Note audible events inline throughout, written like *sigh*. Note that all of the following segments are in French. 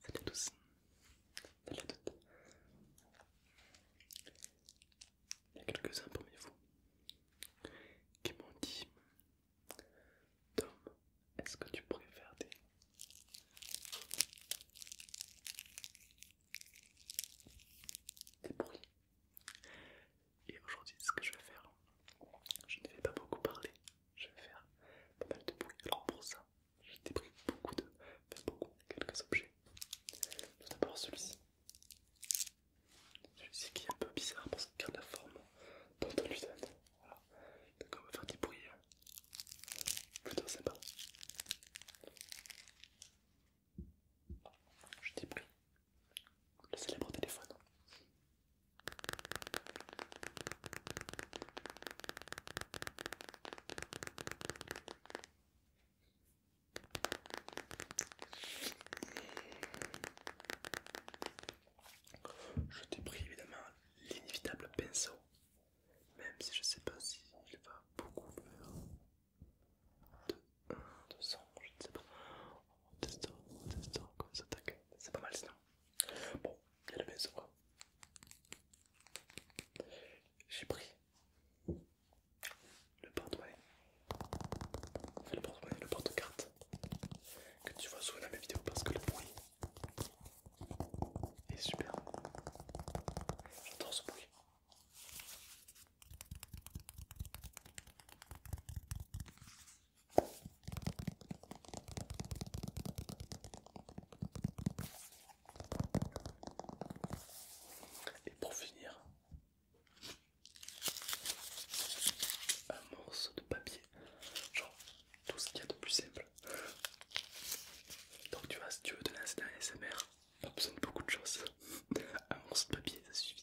Salut à tous, salut à toutes. Il y a quelques-uns parmi vous qui m'ont dit Tom, est-ce que tu préfères des. des bruits et aujourd'hui, ce que je vais faire, je ne vais pas beaucoup parler, je vais faire pas mal de bruit. Alors pour ça, j'ai pris beaucoup de, beaucoup, quelques objets. Tout d'abord celui-ci. Celui-ci qui est un peu bizarre parce qu'il garde la forme d'un Voilà. Donc on va faire des bruits hein. plutôt sympa. Je t'ai le célèbre téléphone. Je t'ai pris évidemment l'inévitable pinceau, même si je sais pas s'il va beaucoup 200, je ne sais pas. On teste, on teste, ça C'est pas mal sinon. Bon, il y a le J'ai pris le porte-monnaie, le porte-monnaie, le porte-carte que tu vois souvent dans mes vidéos parce que le bruit est super. J'adore ce bruit. Et pour finir, un morceau de papier, genre tout ce qu'il y a de plus simple. Donc tu vois, si tu veux te lancer dans Tu t'as besoin de beaucoup de choses. *laughs* Un morceau de papier, ça suffit.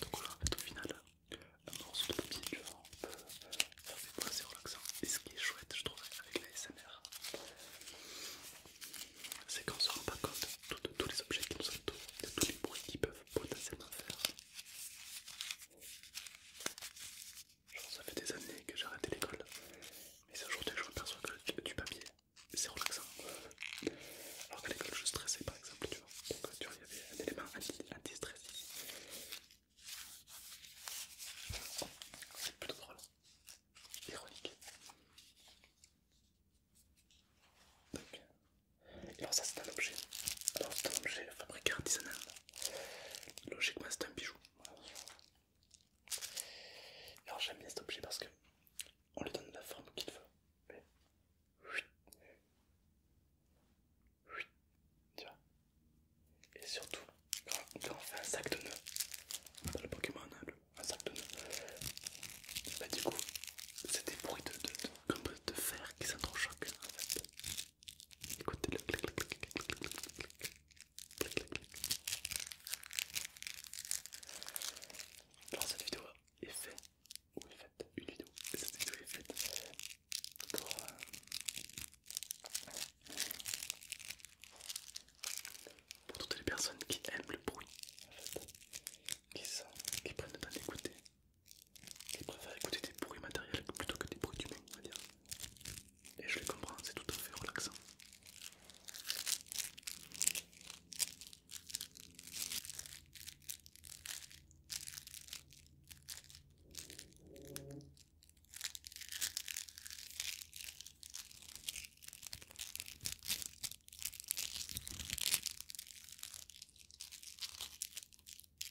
Donc là en fait, au final, un morceau de papier du peut faire assez relaxant Et ce qui est chouette, je trouve, avec la SMR, c'est qu'on se rend pas compte de tous les objets qui nous entourent, de tous les bruits qui peuvent potentiellement faire ça fait des années que j'ai arrêté l'école, mais aujourd'hui je me perçois que du papier, c'est relaxant. Alors qu'à l'école je stressais par exemple, tu vois. Donc tu vois, il y avait un élément anti-stress c'est plutôt drôle. Ironique. Et alors ça c'est un objet. Alors c'est un objet fabriqué artisanal. Logiquement, c'est un bijou. Alors j'aime bien cet objet parce que on lui donne la forme qu'il veut. Et surtout, quand on fait un sac de nœuds, dans le Pokémon, hein, un sac de nœuds, bah du coup, c'est des bruits de, de, de, de fer qui s'entrechoquent en fait. Écoutez le clic clic clic clic clic Alors cette vidéo est faite, ou est faite, une vidéo, cette vidéo est faite euh, pour, toutes les personnes qui aiment le bruit, qui, sont, qui prennent le temps d'écouter il préfère écouter des bruits matériels plutôt que des bruits humains on va dire. Et je les comprends, c'est tout à fait relaxant.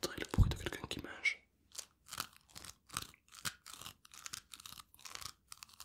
Très le bruit de quelqu'un qui mange.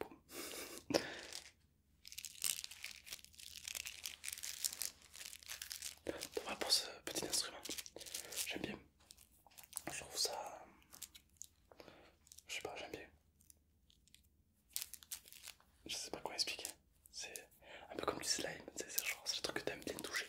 Boum. Voilà pour ce petit instrument. J'aime bien. Je trouve ça... Je sais pas, j'aime bien. Je sais pas quoi expliquer. C'est un peu comme du slime, c'est c'est le truc que t'aimes bien toucher.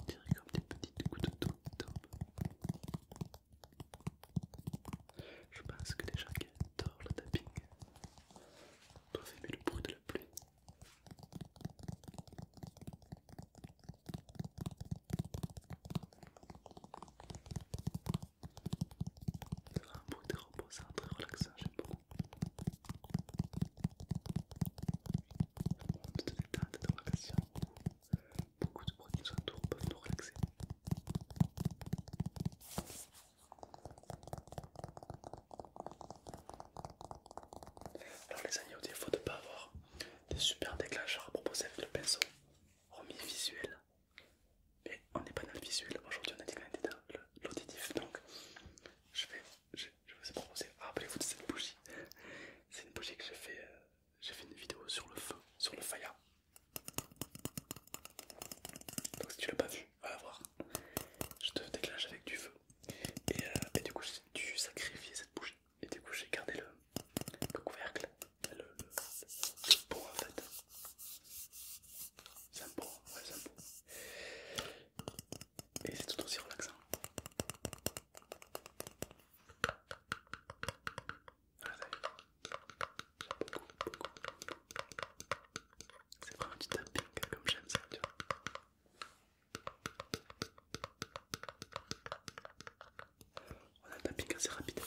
On dirait comme des petites gouttes d'eau qui Je pense que les gens qui adorent le tapping doivent aimer le bruit de la pluie. C'est un bruit c'est reposant, très relaxant, j'aime beaucoup beaucoup de détente dans de question, beaucoup de produits nous entourent peuvent nous relaxer. Alors les amis, il faut de ne pas avoir des super déclencheurs à proposer avec le pinceau, remis visuel, mais on n'est pas dans le visuel, aujourd'hui on a dit dans l'auditif, donc je vais je, vous ai proposé, rappelez-vous de cette bougie, c'est une bougie que j'ai fait, euh, j'ai fait une vidéo sur le feu, sur le faïa Donc si tu l'as pas vu, va voir. Je te déclenche avec du feu. Euh, et, du coup j'ai dû sacrifier cette bougie. Et du coup j'ai gardé le, le couvercle, le, le, en fait. C'est un c'est un et c'est tout aussi relaxant. Ah, c'est vraiment du tapping comme j'aime ça, tu vois. On a un tapping assez rapide.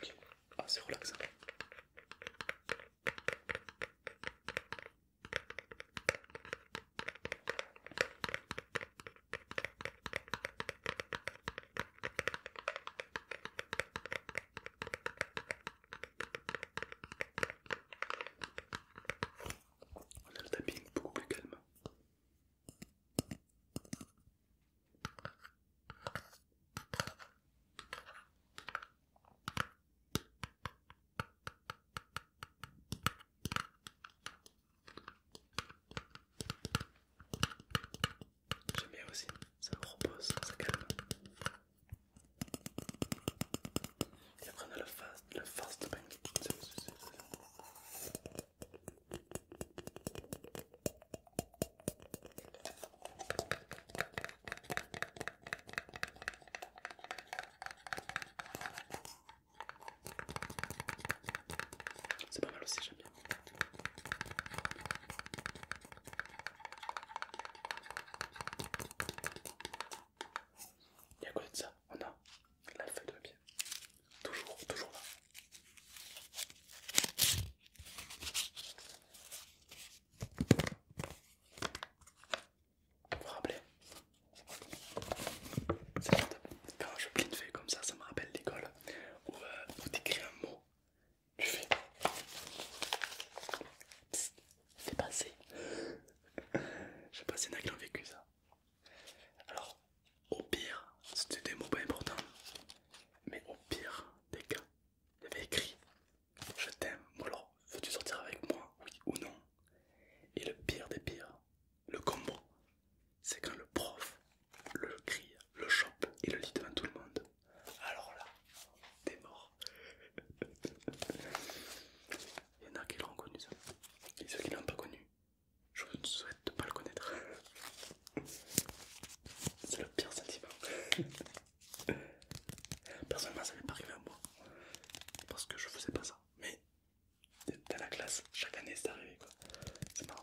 Okay. Ah, c'est relaxant. On a le tapping beaucoup plus calme. J'aime bien aussi, ça me repose, ça calme. Et après on a le fast, le de bank. C'est pas mal aussi, j'aime bien. Et à côté de ça, on a la feuille de bien Toujours, toujours là. Vous vous rappelez quand je pline de comme ça, ça me rappelle l'école où, euh, on un mot, tu fais c'est passé. je sais pas s'il y en a qui ont vécu ça. Alors, au pire, c'était des mots pas importants, mais au pire des cas, il y écrit je t'aime, ou alors veux-tu sortir avec moi, oui ou non Et le pire des pires, le combo, c'est quand le prof le crie, le chope et le lit devant tout le monde. Alors là, t'es mort. *laughs* Il y en a qui l'ont connu ça. Et ceux qui l'ont pas connu, je ne souhaite pas le connaître. *laughs* C'est le pire sentiment. *laughs* Personnellement, ça m'est pas arrivé à moi parce que je ne faisais pas ça, mais dans la classe, chaque année c'est arrivé C'est marrant.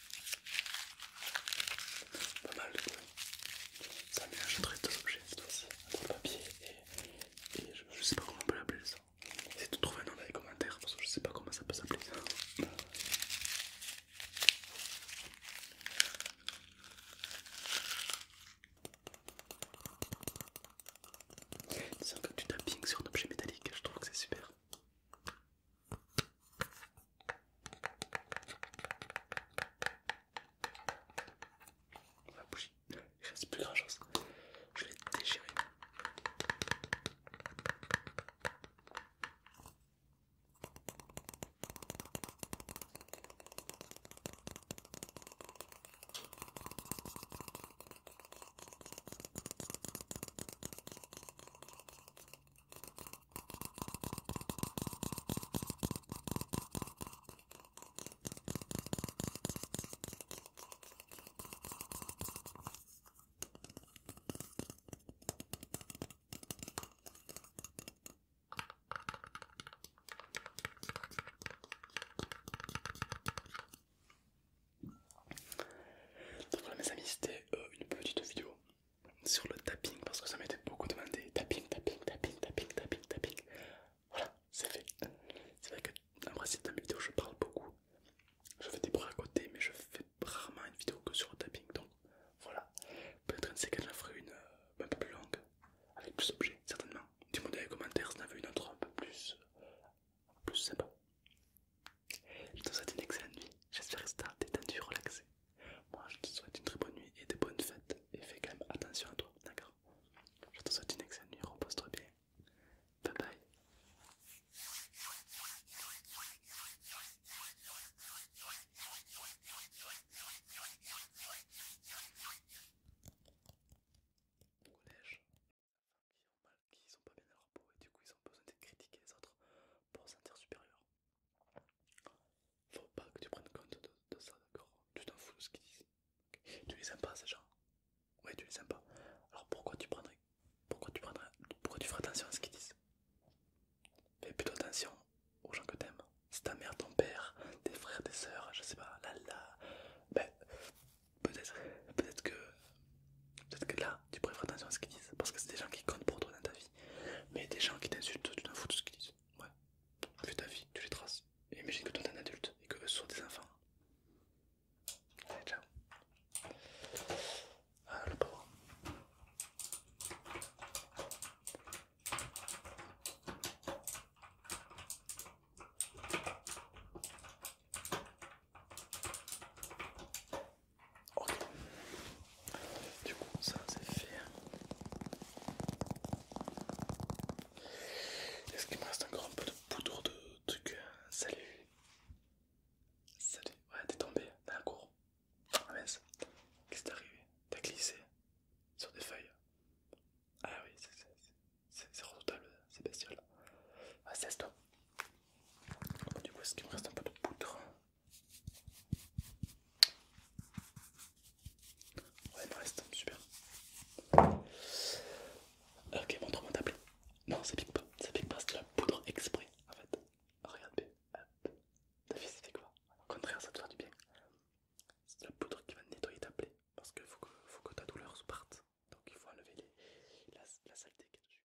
Pas mal du coup, Ça mélangerait deux objets cette fois-ci. Un de papier et, je, sais pas comment on peut l'appeler ça. essaye de trouver un nom dans les commentaires parce que je sais pas comment ça peut s'appeler ça. C'est comme tu du tapping sur un objet métallique, je trouve que c'est super. La bougie, ne sais plus grand chose. Je l'ai déchiré. Pour mes amis, c'était euh, une petite vidéo sur le tapping parce que ça m'était beaucoup demandé. Tapping, tapping, tapping, tapping, tapping, tapping. Voilà, c'est fait. C'est vrai que principe dans mes vidéos je parle beaucoup. Je fais des bruits à côté mais je fais rarement une vidéo que sur le tapping. Donc voilà. Peut-être une séquence en une euh, un peu plus longue, avec plus d'objets, certainement. Dis-moi dans les commentaires si a veux une autre un peu plus, euh, plus sympa. Je te souhaite une excellente nuit. J'espère que tu détendu, relaxé. Moi je te souhaite une très bonne nuit et des bonnes fêtes et fais quand même attention à toi, d'accord Je te souhaite une excellente nuit, repose-toi bien. Bye bye. Au collège, qui, ont mal, qui sont pas bien à leur repos et du coup ils ont besoin de critiquer les autres pour se sentir supérieurs. Faut pas que tu prennes compte de, ça, d'accord Tu t'en fous de ce qu'ils disent. Tu les aimes pas ces gens Ouais, tu les aimes pas. Alors pourquoi tu prendrais pourquoi tu prendrais pourquoi tu ferais attention à ce qu'ils disent Fais plutôt attention aux gens que t'aimes. C'est ta mère, ton père, tes frères, tes sœurs, je sais pas, là là. Ben peut-être peut-être que peut-être que là tu préfères faire attention à ce qu'ils disent parce que c'est des gens qui comptent pour toi dans ta vie. Mais des gens qui t'insultent, tu t'en fous de ce qu'ils disent. Ouais, tu fais ta vie, tu les traces. imagine que toi t'es un adulte et que ce sont des enfants. Allez, ciao. Ah, le pauvre. Ok. Du coup, ça c'est fait. Est-ce qu'il me reste encore un peu de poudre de truc Salut. Salut. Ouais, t'es tombé dans la cour. Ah, Qu'est-ce qui t'est arrivé T'as glissé sur des feuilles. Ah oui, c'est redoutable, c'est bestioles Ah, toi. Du coup, est-ce qu'il me reste un peu de poudre Ouais, il me reste, super. Euh, ok, montre-moi ta Non, ça pique pas, ça pique pas, c'est de la poudre exprès en fait. Regarde bien, hop, ta fille fait quoi Au contraire, ça te fera du bien. C'est de la poudre qui va nettoyer ta plaie parce faut que, faut que ta douleur se parte. Donc il faut enlever la, saleté qui est dessus.